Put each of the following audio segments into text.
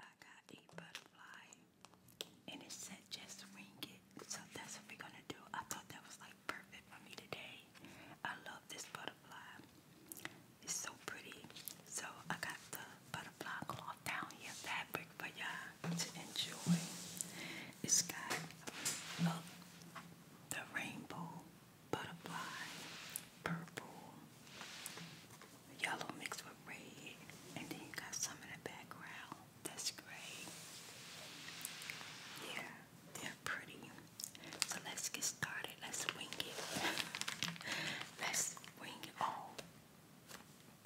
I got a butterfly, and it said just wing it. So that's what we're gonna do. I thought that was like perfect for me today. I love this butterfly. It's so pretty. So I got the butterfly cloth down here, fabric for y'all to enjoy. It's got uh, the rainbow butterfly, purple, yellow mixed with red, and then you got some in the background. That's great. Yeah, they're pretty. So let's get started. Let's wing it. Let's wing it all.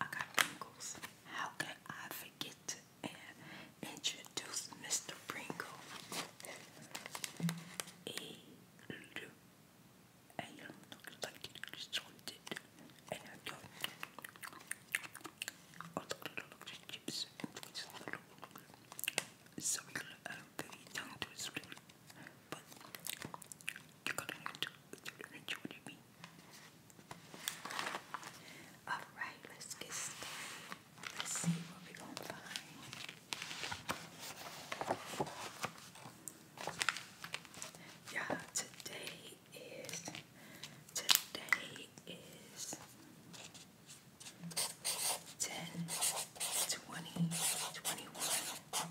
I got Pringles. How can I forget to uh, introduce Mr. Pringle? E I'm not like it salted and I don't I look at all of the chips and it's a little so I'm very down to explain but you gotta enjoy what I mean Alright, let's get started. Let's see what we're gonna find. Yeah, today is today is ten twenty twenty one.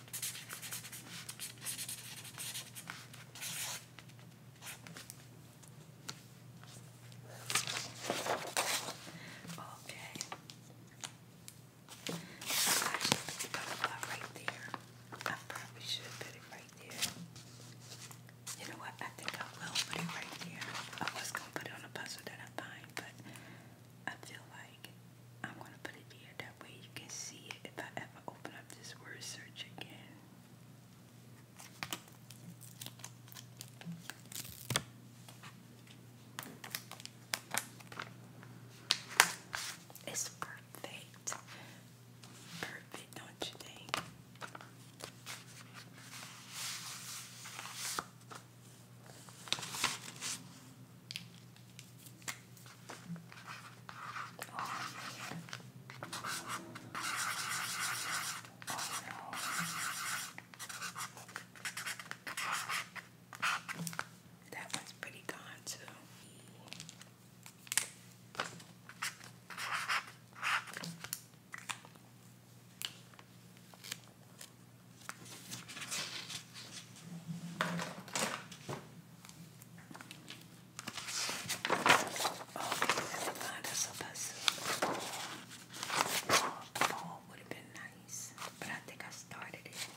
Okay. I should put it right there. I probably should put it right there. You know what? I think I will put it right there. I was gonna put it on a puzzle that I find, but I feel like I'm gonna put it here that way you can see it if I ever open up this word search again. It's perfect. Perfect, don't you think? That one's pretty gone too. Okay, never would have been nice, but I think I started it.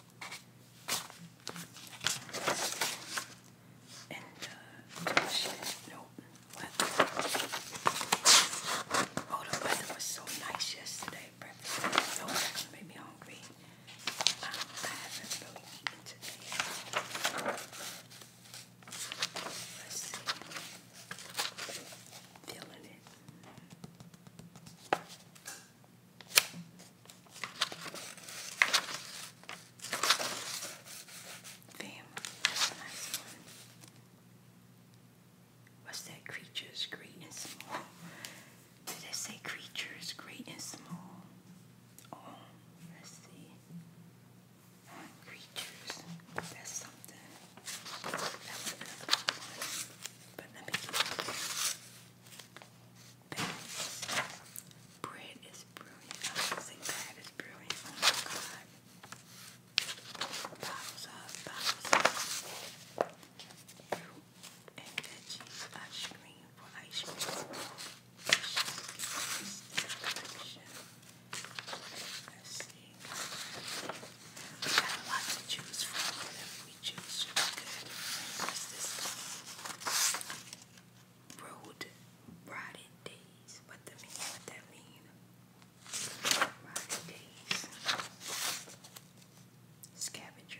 And uh, What? Oh, the weather was so nice yesterday. Breakfast. So that made me hungry. Feeling it. Bam, that's a nice one. What's that creature's great and small? Did I say creatures great and small? Oh, let's see. creatures. That's something. That was another one. But let me get is brilliant. I was saying is brilliant. Oh my god. Bottles up, bottles up and veggies ice cream for ice cream. We got a lot to choose from. Whatever we choose should be good. this Road Rotted Days. What the mean? What that mean? Rotted Days. Scavenger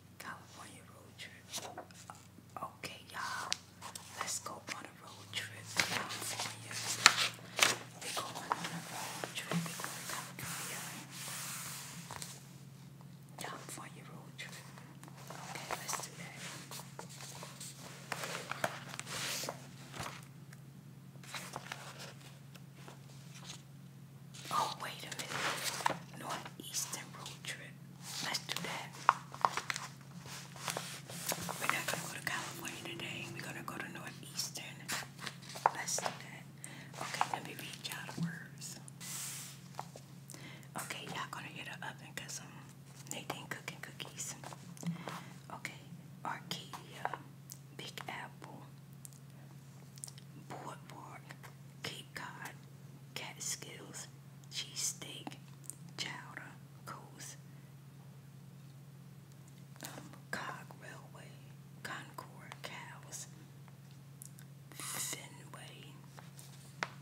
California road trip. Okay, y'all. Let's go on a road trip California. We're going on a road trip. We're going California. California road trip. Okay, let's do that. Oh, wait a minute. Northeastern road trip. Let's do that. We're not gonna go to California today. We're gonna go to Northeastern. Let's do that. Okay, let me read y'all the words. Okay, y'all gonna hear the oven because um Nadine cooking cookies. Okay, Arcadia, Big Apple, Boardwalk, Cape Cod, Catskills, wings, cheesesteak, chowder, coos, um, cog railway, Concord cows, Fenway,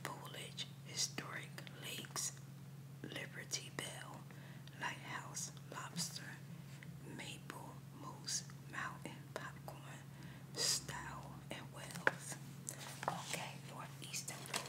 Foliage, historic lakes, Liberty Bell, Lighthouse, lobster, maple, moose, mountain, popcorn, Stow and Wells. Okay, Northeastern Road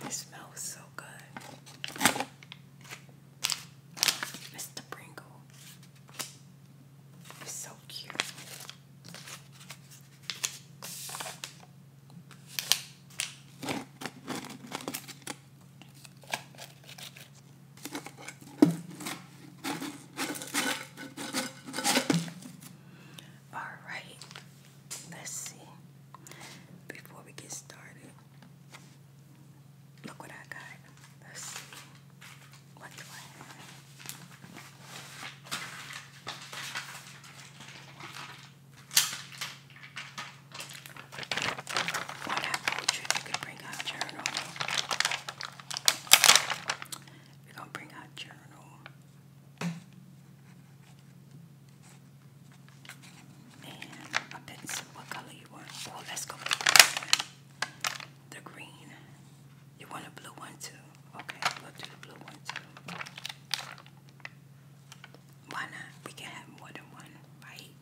this smells so good. Mr. Pringle. It's so cute. Alright, let's see. Before we get started, look what I got. Let's see. What What I told you, you bring out journal. We're going bring out journal. And a pencil. What color you want? Well, oh, let's go with The green. You want a blue one too? Okay, we'll do the blue one too. Why not? We can have more than one, right?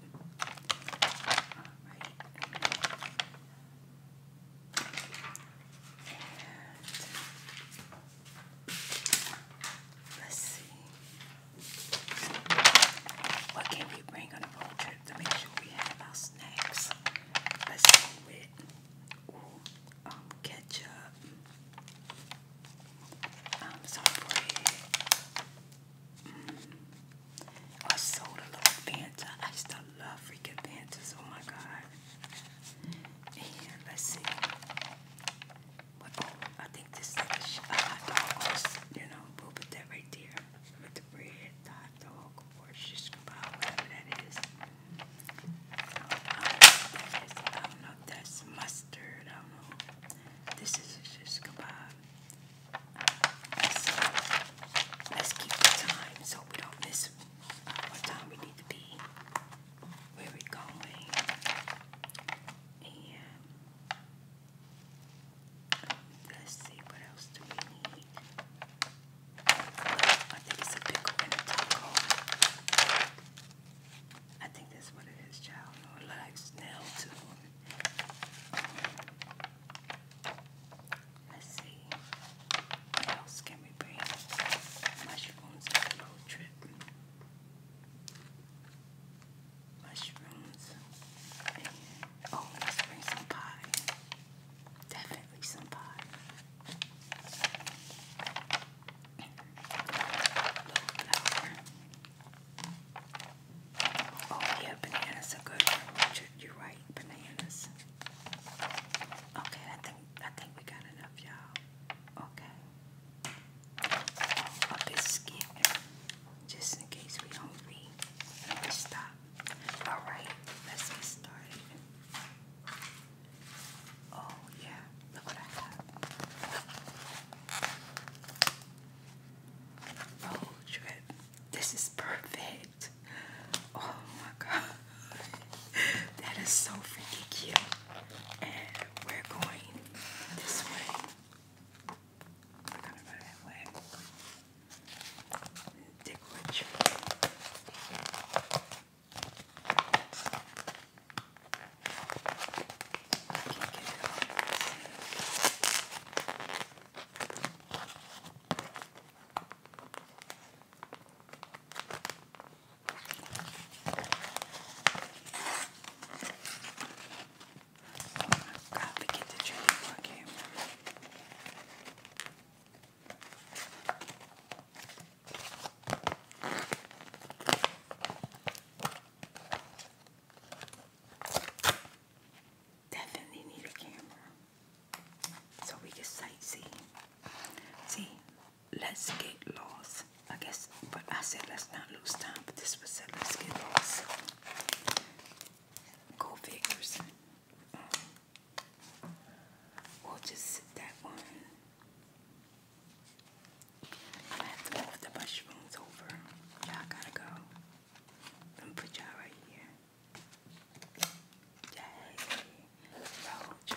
All right. And Let's see. What can we bring on a road trip to make sure we have our snacks? Let's see with um, ketchup, um, some bread, mm. a soda, a Fanta. I used love freaking Fantas. Oh my God. And let's see. What, oh, I think this is a hot dog. You know, we'll put that right there. With the bread, hot dog, or whatever that is. I don't know that's mustard. I don't know. This is a shish Let's, keep time so we don't miss what time we need to be where we're going and let's see what else do we need. I think it's a pickle and a taco. I think that's what it is, child. like snail too. let's see. What else can we bring? Mushrooms on the road trip. Mushrooms. oh, let's bring some pie. Definitely some pie. Oh yeah, bananas are good. You're right, bananas. Okay, I think I think we got enough, y'all. Okay. I'll just just in case we don't read. We stop. All right, let's get started. Oh yeah, look what I have. Road trip. This is perfect. Oh my god. That is so freaking cute. And we're going this way. We're to go that way. Dick Richard. Got to get the tree before I can Definitely need a camera. So we can sightsee. See, let's get lost. I guess, but I said let's not lose time, but this was said let's get lost. Go figures. Mm. we'll just that one. i have to move the mushrooms over. Y'all gotta go. Let put y'all right here. Yay. Road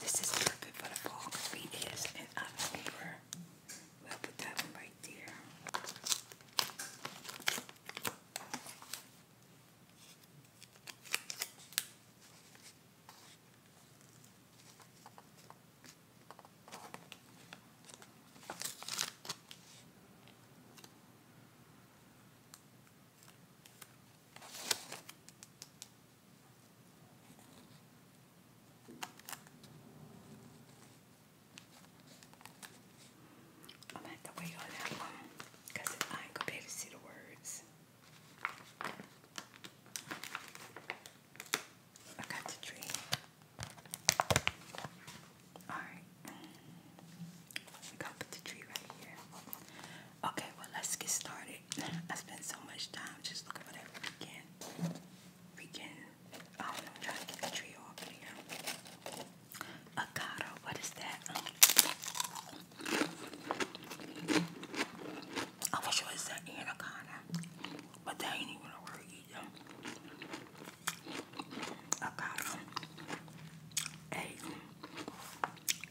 This is perfect for the fall because we is in October. We'll put that one right there. I'm at the wait on that one because I ain't gonna be able to see the words. I got the tree. Alright. We gonna put the tree right here. Okay, well let's get started. I spent so much time just looking for that weekend. Weekend. Oh, I do trying to get the tree off here. what is that? I wish it was an anaconda, but that ain't even a about a,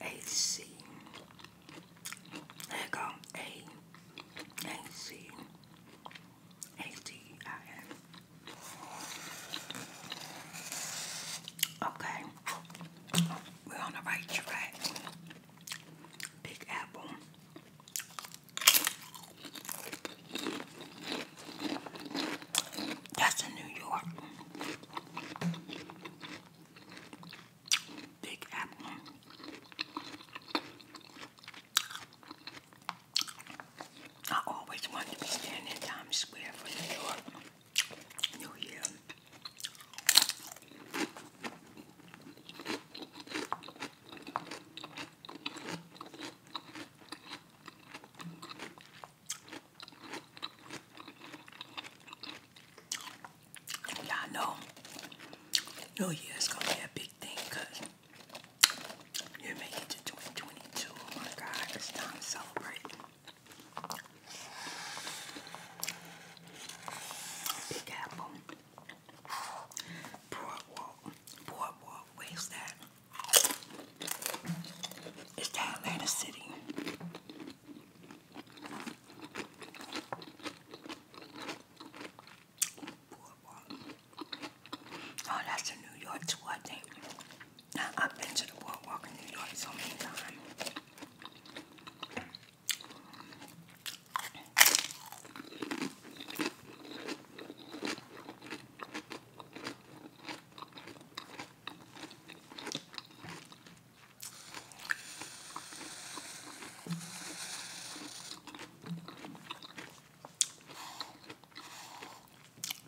a, a C. There you go. A, A, C, A, D, I, N. Okay. We're on the right track. Big apple. That's in New York. Big apple. I always wanted to be standing in Times Square for New York. New Year. Y'all know, New Year's gonna be a big thing because you making it to 2022. Oh my God, it's time to celebrate. Big Apple. Boardwalk. Boardwalk. Where's that? It's to Atlanta City. Oh, that's the New York tour, I I've been to the boardwalk in New York so many times.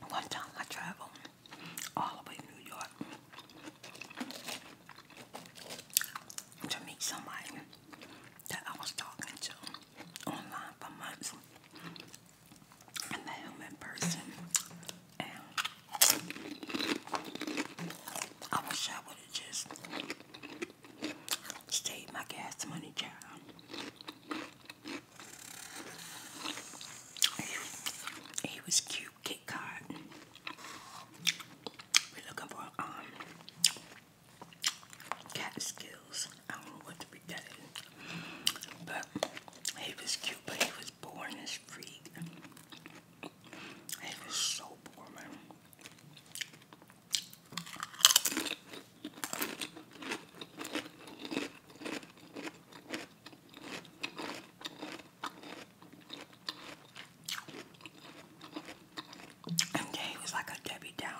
One time I traveled all the way to New York to meet somebody that I was talking to online for months and the human person. I wish I would have just stayed my gas money job. He, was cute, Kit Card. We're looking for um cat skills. I don't know what to be that is. But he was cute, but he was born as freak. He was so boring. And he was like a Debbie Downer.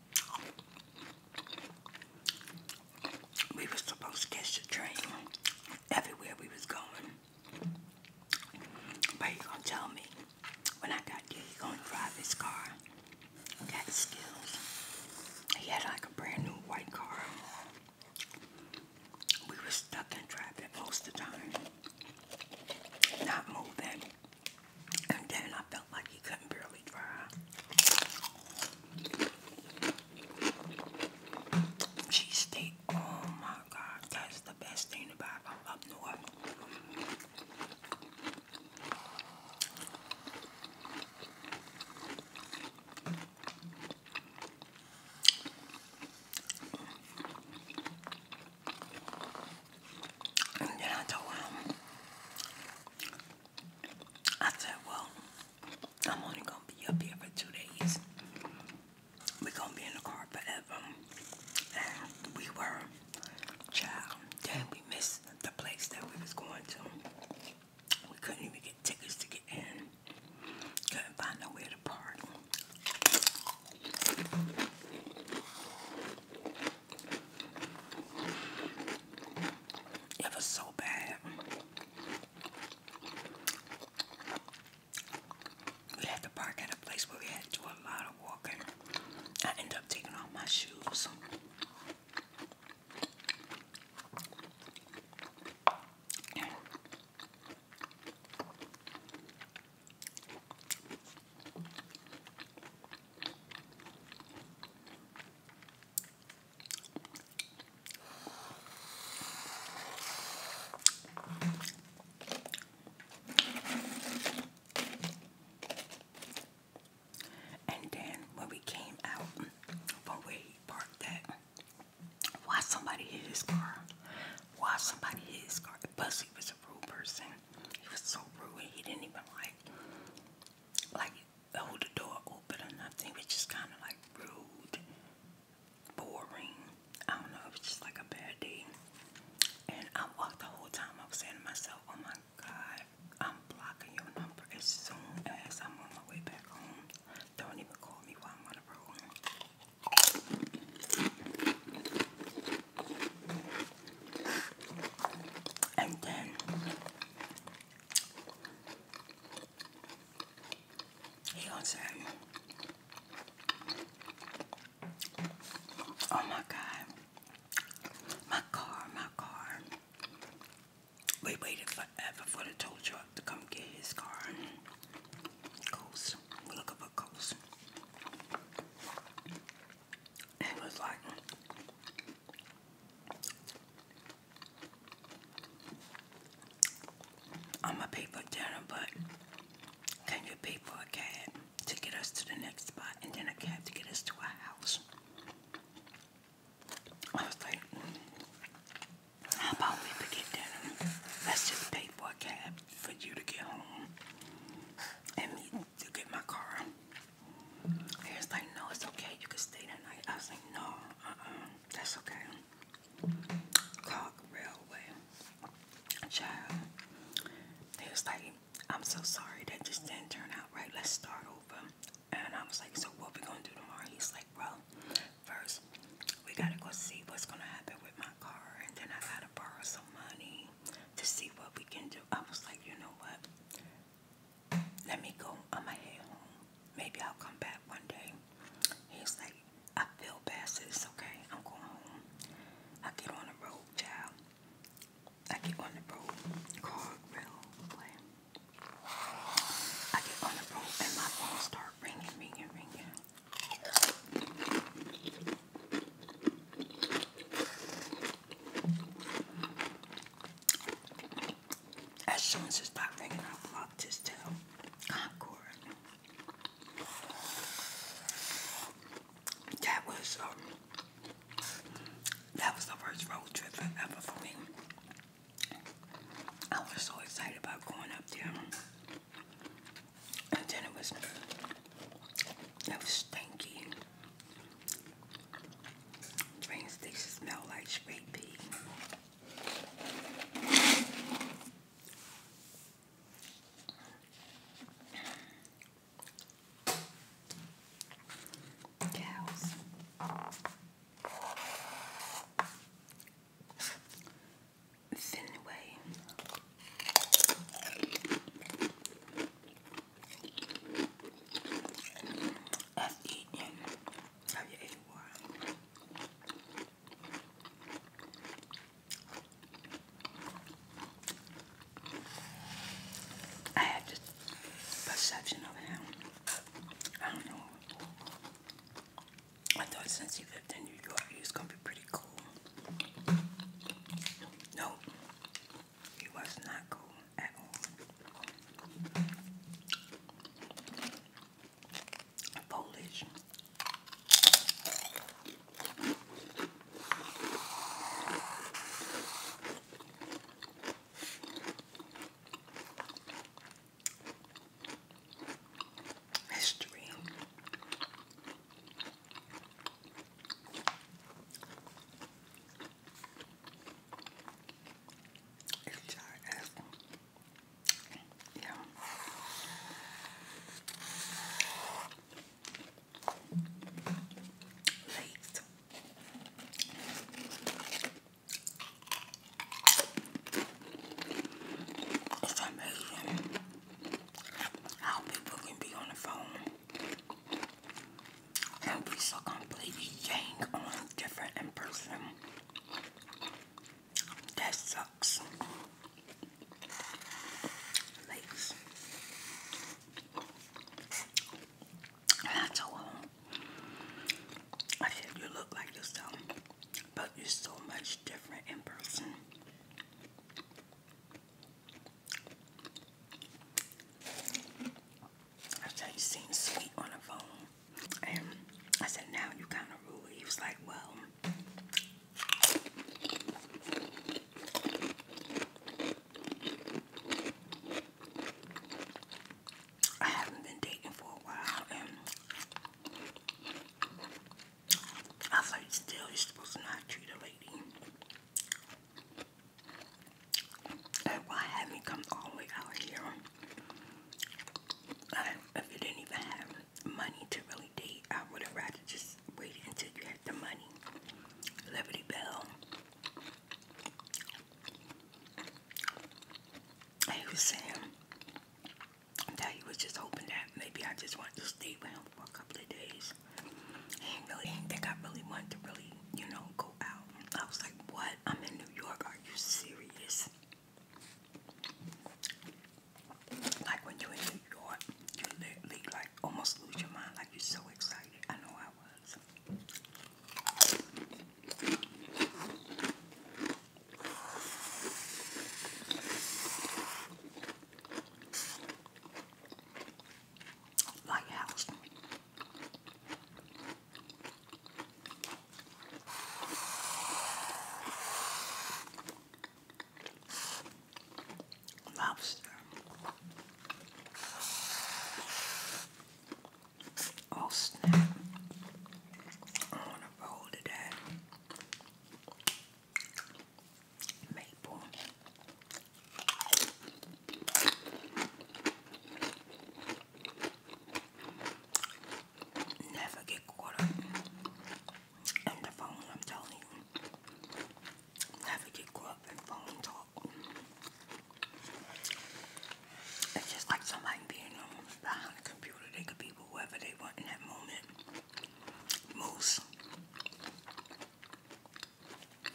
We were supposed to catch the train everywhere we was going. But he gonna tell me when I got you? he gonna drive his car. Got skills. He had like a brand new white car. We were stuck in traffic most of the time. Not moving. And then I felt like he couldn't Cheese steak. Oh my God, that's the best thing to buy from up north. And then I told him I said, well, I'm only gonna be up here for two days. We're gonna be in the car forever. And we were child. Then we missed the place that we was going to. We couldn't even get tickets to get in. Couldn't find nowhere to park. It was so bad. We had to park at a place where we had to do a lot of walking. I ended up taking off my shoes. And then when we came out from where parked at, why somebody hit his car? Why somebody hit his car? Plus he was a rude person. He was so rude he didn't even like like hold the door open or nothing, which is kind of like rude, boring. I don't know, it was just like a bad day. And I walked the whole time, I was saying to myself, oh my God, I'm blocking your number as soon as I'm on my way back home. Don't even call me while I'm on the road. And then he going "Oh my God, my car, my car." We waited forever for the tow truck to come get his car. Coast, look up a coast. It was like I'ma pay for dinner, but can you pay for a cab to get us to the next spot and then a cab to get us to our house? I was like, mm, how about we forget dinner? Let's just pay for a cab for you to get home and me to get my car. He was like, no, it's okay. You can stay that I was like, no, uh-uh. That's okay. Cog Railway. Child. He was like, I'm so sorry. That just didn't turn out right. Let's start over. And I was like, so what we going to do tomorrow? He's like, "Bro, first, we got to go see what's going to happen with my car. And then I got to borrow some money to see what we can do. I was like, you know what? Let me go. on my way home. Maybe I'll come back one day. He's like, I feel better. It's Okay, I'm going home. I get on the road, child. I get on the road. Car grill. Play. I get on the road and my phone start ringing, ringing, ringing. Ah, that was um, that was the first road trip ever for me. I was so excited about going up there, and then it was it was stinky. Rain stations smell like straight Cows. Finway. F E N W A Y. I have this perception of him. I don't know. I thought since he lived in New York, he was gonna be pretty cool. Nope. He was not cool at all. Polish. History. It's giant. Yeah. Late. It's amazing how people can be on the phone and we so completely yang on different in person. That sucks. Ladies. And I I said, you look like yourself, but you're so much different in person. I said, you seemed sweet on the phone. And I said, now you kind of rude. He was like, well, I haven't been dating for a while, and I thought still, you're supposed to not treat a lady why have me come all the way out here? I, uh, if you didn't even have money to really date, I would have rather just wait until you had the money. Liberty Bell. He was saying that he was just hoping that maybe I just wanted to stay with him for a couple of days. I think I really wanted to really, you know, go out. I was like, what? I'm in New York. Are you serious? Like when you're in New York, you literally like almost lose your mind. Like you're so excited. I know I was. Lighthouse. Lobster. Oh snap. I'm on a roll today. Never get caught up in the phone, I'm telling you. Never get caught up in phone talk. It's just like somebody being on behind the computer. They could be whoever they want in that moment. Moose. And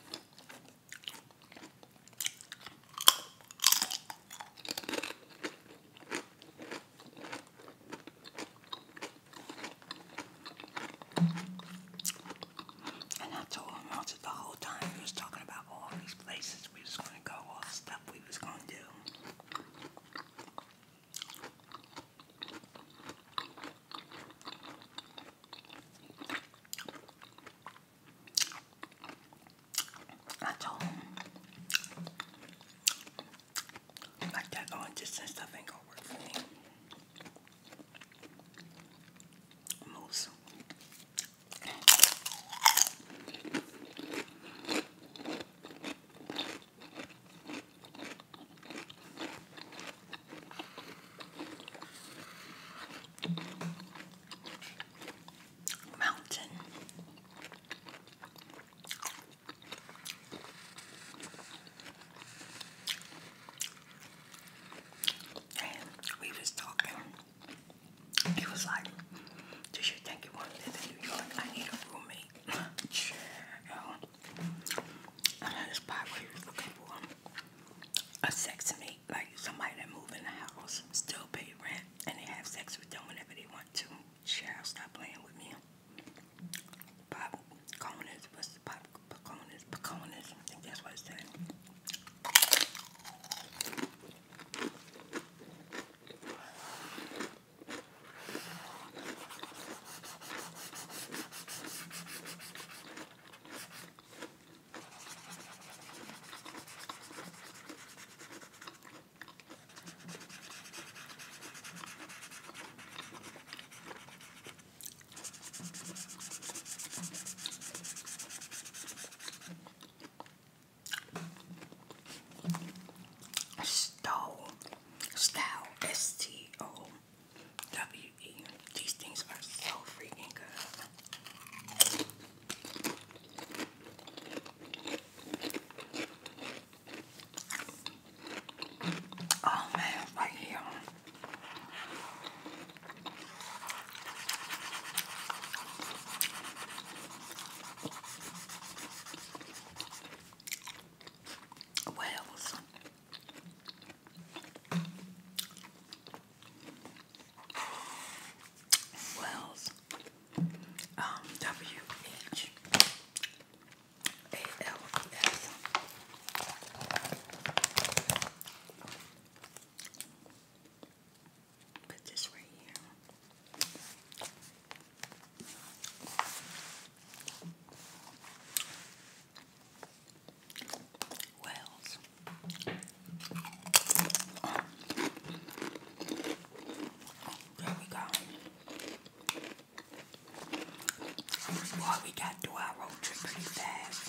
I told him also the whole time he was talking about all these places we was gonna go, all the stuff we was gonna do. I told not like that long distance stuff ain't gonna work for me. Moose. Mountain. And we was talking. He was like, "Do you think you want to live in New York? I need a roommate." I know the spot where you was looking for a sexmate, like somebody that move in the house, still pay rent, and they have sex with them whenever they want to. Cheryl, stop playing with me. Pop Conas, what's the pop Paconas? Paconas, I think that's what it said. Stole, style, S-T-O. W.E. These things are so freaking good. Oh man, right here. Whales. Wells, um, W H A L S. Put this right here. Wells. there we go. Boy, we got through our road trip pretty fast.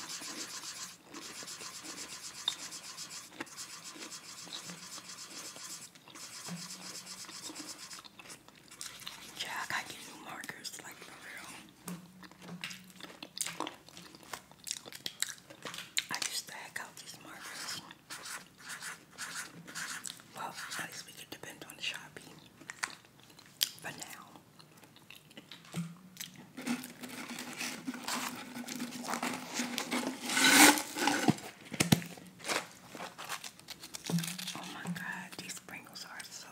Yeah, I got new markers, like for real. I used to hack out these markers. Well, at least we could depend on the Sharpie for now. Oh my god, these sprinkles are so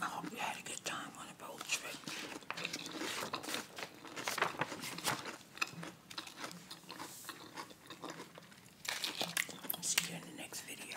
I hope you had a good time on the boat trip. See you in the next video.